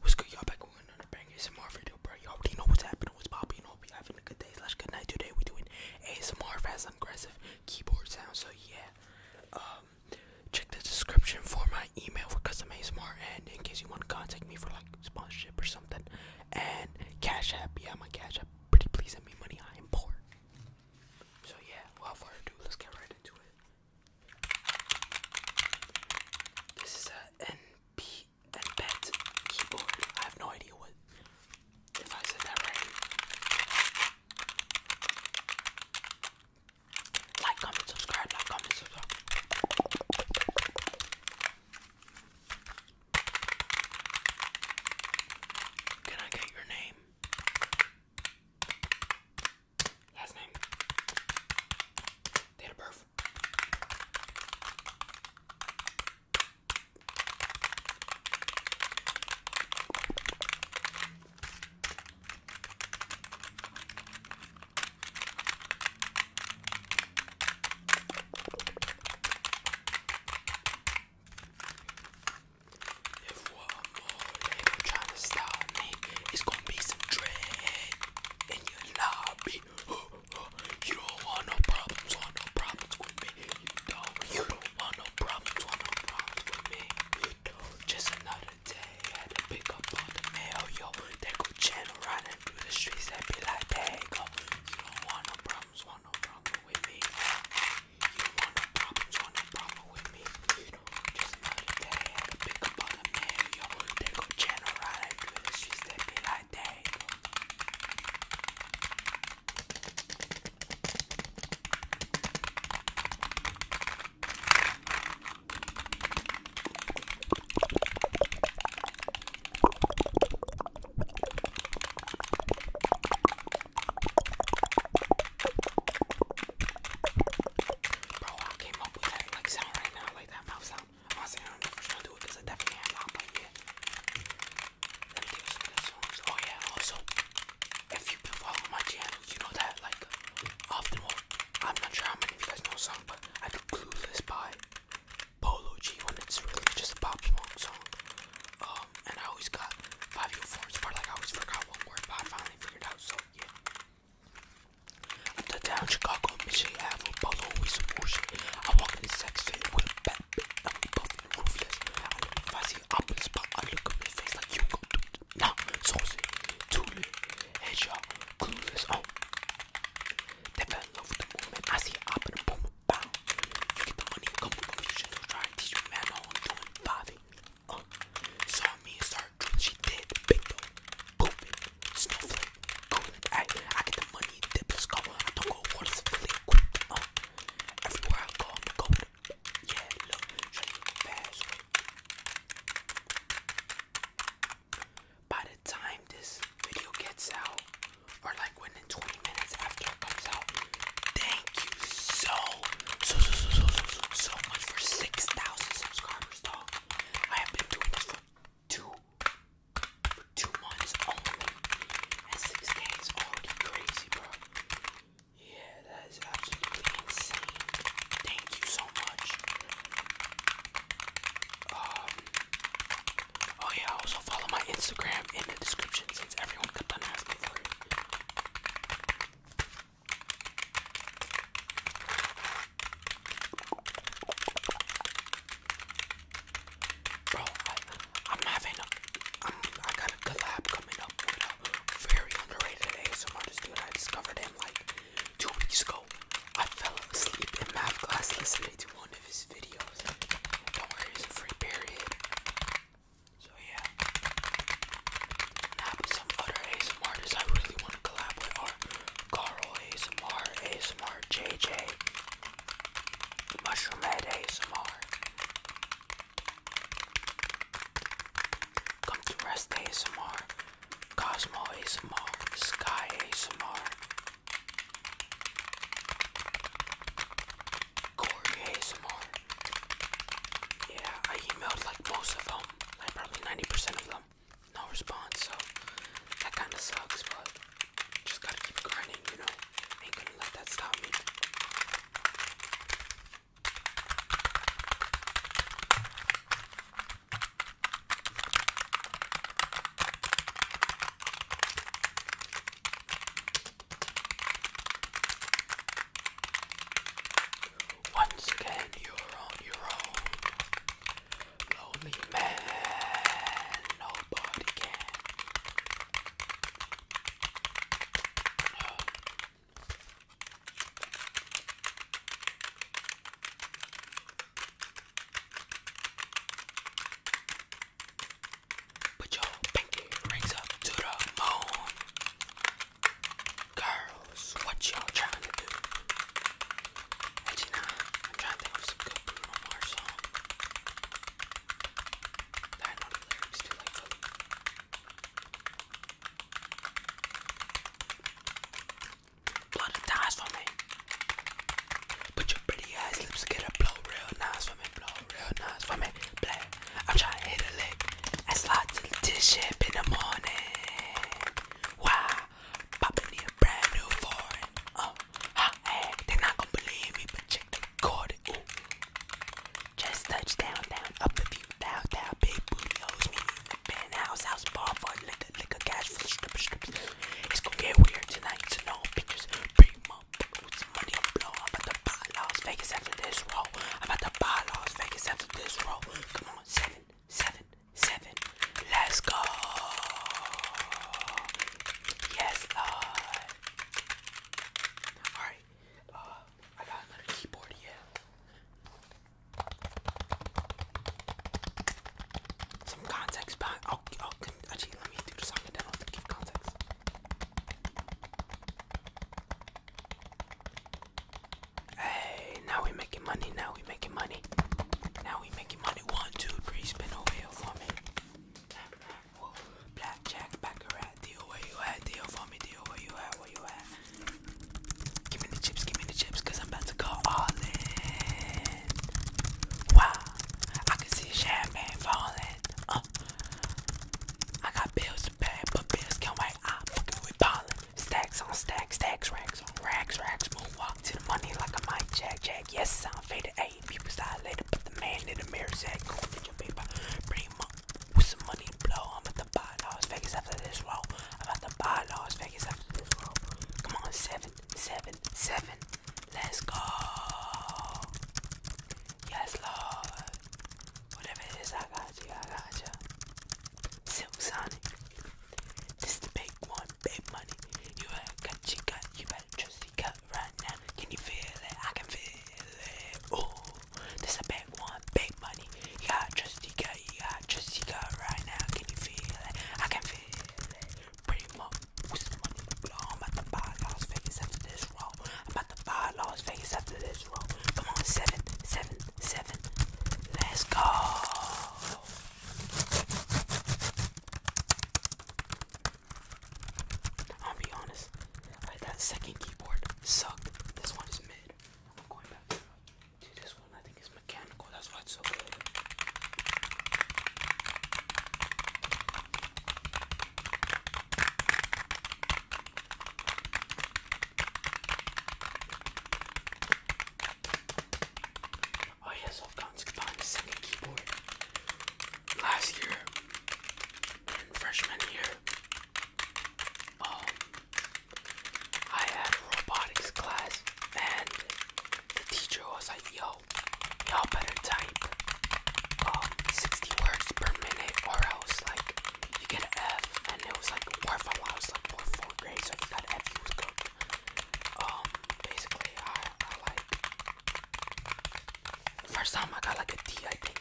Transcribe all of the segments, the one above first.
What's good, y'all? Back with another banger. ASMR video, bro. You already know what's happening. What's popping? You know, we having a good day slash good night today. We doing ASMR fast and aggressive keyboard sound. So yeah, um, check the description for my email for custom ASMR. And in case you want to contact me for like sponsorship or something. And Cash App, yeah, my Cash App, pretty please send me money. I am poor. So yeah, without further ado, let's get right into it. This is a NP keyboard. I have no idea what if I said that right. Like, comment, subscribe, like, comment, subscribe. Can I get your name? Last name. Date of birth. If one more nigga try stop me, it's gonna be some dread in your lobby. You don't want no problems, want no problems with me. You don't, you don't want no problems, want no problems with me. just another day had to pick up on the mail, yo. They go channel running through the streets and be like, there you go. You don't want no problems, want no problem with me. You don't want no problems, want no problem with me. You know, just know that they had to pick up all the mail, yo. They go channel running through the streets They be like, there go. Bro, I came up with that like sound right now, like that mouth sound. I'm not saying I'm the first one to do it because I definitely am not, but yeah. Let me give you some good songs. Oh yeah, also, if you've been following my channel, you know that like often what I'm not sure how many of you guys know the but I do Clueless by Polo G when it's really just a Pop Smoke song. Um, and I always got five year forms but like I always forgot one word, but I finally figured out, so yeah. I'm the town Chicago, Michigan Ave, Polo, we some ocean. I walk in the sex fit with a bat, I'm buffing the roof, yes. I look if I see an open spot, I look up in face like you gon' do it. Nah, so say, too late and y'all clueless on. Oh. They fell in love with the movement. I see it up and boom, bow. get the money, come with confusion. Don't try teach me, man. No, I'm doing five. Uh, saw me and she did. Big though, poof it, snowflake, I get the money, dip, let's I don't go water, it's really quick. Uh. everywhere I go, I'm going. Yeah, look, try fast by the time this video gets out, or like within 20 minutes after it comes out, thank you so, so, so, so, so, so, much for 6,000 subscribers, dog. I have been doing this for two, for two months only, and 6K already crazy, bro. Yeah, that is absolutely insane. Thank you so um, oh yeah, also follow my Instagram in the description since everyone kept on asking for it. Bro, I, am having a, I'm, I got a collab coming up with a very underrated ASMR dude. I discovered him like two weeks ago, I fell asleep in math class listening to one of his videos. Don't worry, it's free period. So yeah, now some other ASMR I really want to collab with are Carl ASMR, ASMR JJ, Mushroom Head ASMR. Come to Rest ASMR, Cosmo ASMR, Sky ASMR, Corey ASMR. Yeah, I emailed like most of them, like probably 90% of them. No response, so that kind of sucks, but just gotta keep grinding, you know? Ain't gonna let that stop me. Once again, you're on your own. Lonely man, nobody can. Put your pinky rings up to the moon. Girls, what y'all trying to do? Actually, I'm trying to think of some good Bruno Mars song. I know too, like, Blow them thighs for me. Put your pretty ass lips together, blow real nice for me, blow real nice for me. Play. I'm trying to hit a lick and slide to the dish in the morning. Wow, popping me a brand new foreign. Oh, hot They're not gonna believe me, but check the cord. Just touch down, down, up the you doubt big booty hoes me penthouse, house bar for liquor, liquor, cash for the stripper, strippers. It's gonna get weird tonight, so no pictures. Bring my some money and blow. I'm about to buy Las Vegas after this roll. I'm about to buy Las Vegas after this roll. Come on, seven, seven, seven. Let's go. Yes, Lord. Uh, Alright, uh, I got another keyboard here. Some context behind. I'll, actually let me do the song and then I'll give context. Hey, now we are making money. Now we are making money. Now we are making money. One, two, three. Spin over here for me. Blackjack, baccarat. Deal where you at. Deal for me. Deal where you at. Where you at. Give me the chips, give me the chips, cause I'm about to go all in. Wow, I can see champagne falling. Uh, I got bills to pay, but bills can wait. I'm fucking with ballin'. Stacks on stacks, stacks, racks on racks, racks. Moonwalk to the money like a mic jack, jack. Yes, I'm faded. Eight people style to put the man in the mirror said, Go get your paper. Pretty much with some money blow. I'm about to buy Las Vegas after this roll. I'm about to buy Las Vegas after this roll. Come on, seven, seven, seven. Let's go. Yes, Lord. Whatever it is, I got you. I got you. Silk Sonic. This the big one, big money. You better cut your gut. You better trust your right now. Can you feel it? I can feel it. Oh, this is a big one, big money. You got Jessica, you got Jessica right now. Can you feel it? I can feel it. Pretty much, what's the money? I'm about to buy Las Vegas after this roll. I'm about to buy Las Vegas after this roll. Come on, seven, seven, seven. Let's go. I'll be honest, that second keyboard sucked. This one is mid. I'm going back to this one. I think it's mechanical. That's why it's so good. Oh, I've gone second keyboard last year and freshman year. Um, I had robotics class, and the teacher was like, "Yo, y'all better type um 60 words per minute, or else like you get an F." And it was like, "What if I was like more fourth grade? So if you got an F, you was good." Um, basically, I, like first time I got like a D, I think,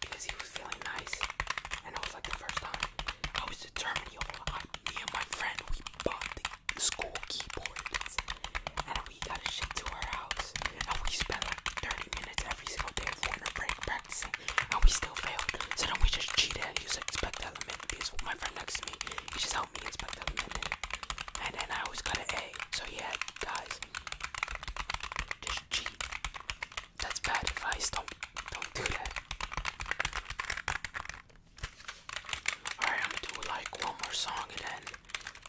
because he feeling nice, and it was like the first time I was determined. Yo, I, me and my friend, we bought the school keyboards, and we got a shipped to our house, and we spent like 30 minutes every single day of winter break practicing, and we still failed. So then we just cheated and used expect element because my friend next to me, he just helped me inspect element, and then I always got an A. So yeah, guys, just cheat. That's bad advice. Don't don't do that. Alright, I'm gonna do like one more song and then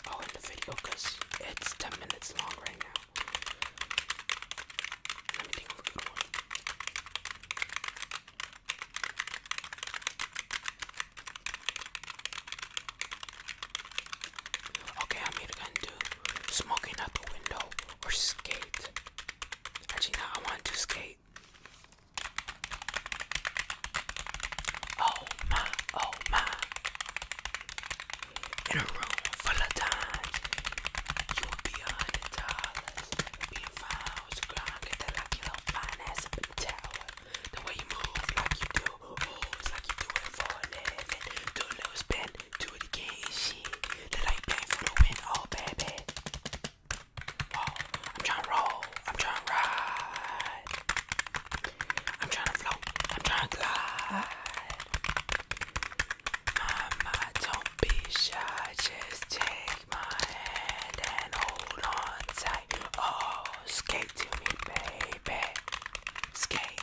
I'll end the video because it's 10 minutes long right now. Let me think a good one. Okay, I'm either to do smoking out the window or skate. Actually, no, I want to skate. Oh my, oh my. In a room full of dimes, you'll be a hundred dollars. Being fine with the ground, get that little fine ass up in the The way you move, like you do, it's like you do it for a living. Do a little spin again, do it again shit. Then I bang for the win, oh baby. Whoa, I'm trying roll, I'm trying ride. I'm trying float, I'm trying glide. Mama, don't be shy, just take my hand and hold on tight. Oh, skate to me, baby. Skate,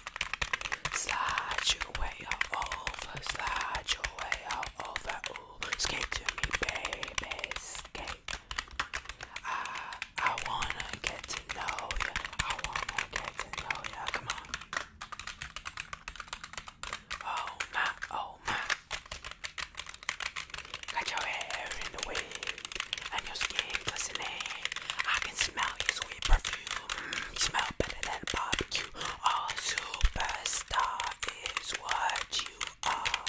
slide you away way slide your way out over. Ooh, skate to me, baby, skate. I, I wanna get to know ya. I wanna get to know ya. Come on. Oh my, oh my. Got your hair in the wind and your skin glistening. I can smell your sweet perfume. Mm, smell better than barbecue. A superstar is what you are.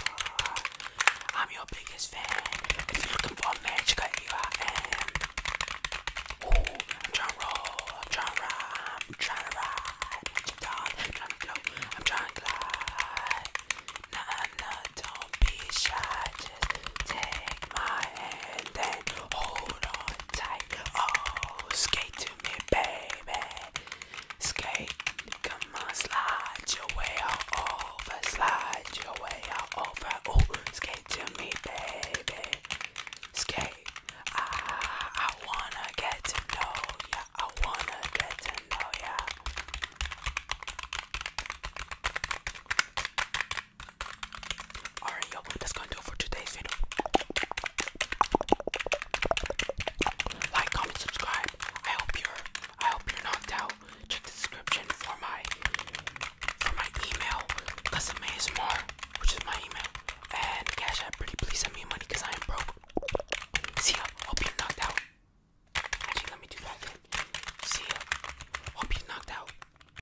I'm your biggest fan. If you're looking for a man, check out here I am. Ooh, I'm trying to roll, I'm trying to rhyme, I'm trying to ride. I'm trying to flow, I'm trying to glide. Nah, nah, don't be shy. Just take my hand and hold on Oh, skate to me, baby. Skate, come on, slide your way all over, slide your way all over. Oh, skate to me, baby. Skate. I, ah, I wanna get to know ya. I wanna get to know ya. Alright, yo, that's gonna do it for today's video. Like, comment, subscribe. I hope you're, I hope you're knocked out. Check description for my, for my email, custom which is my email, and cash Pretty please send me money, cause I am broke. See ya. Hope you're knocked out. Actually, let me do that again. See ya. Hope you're knocked out.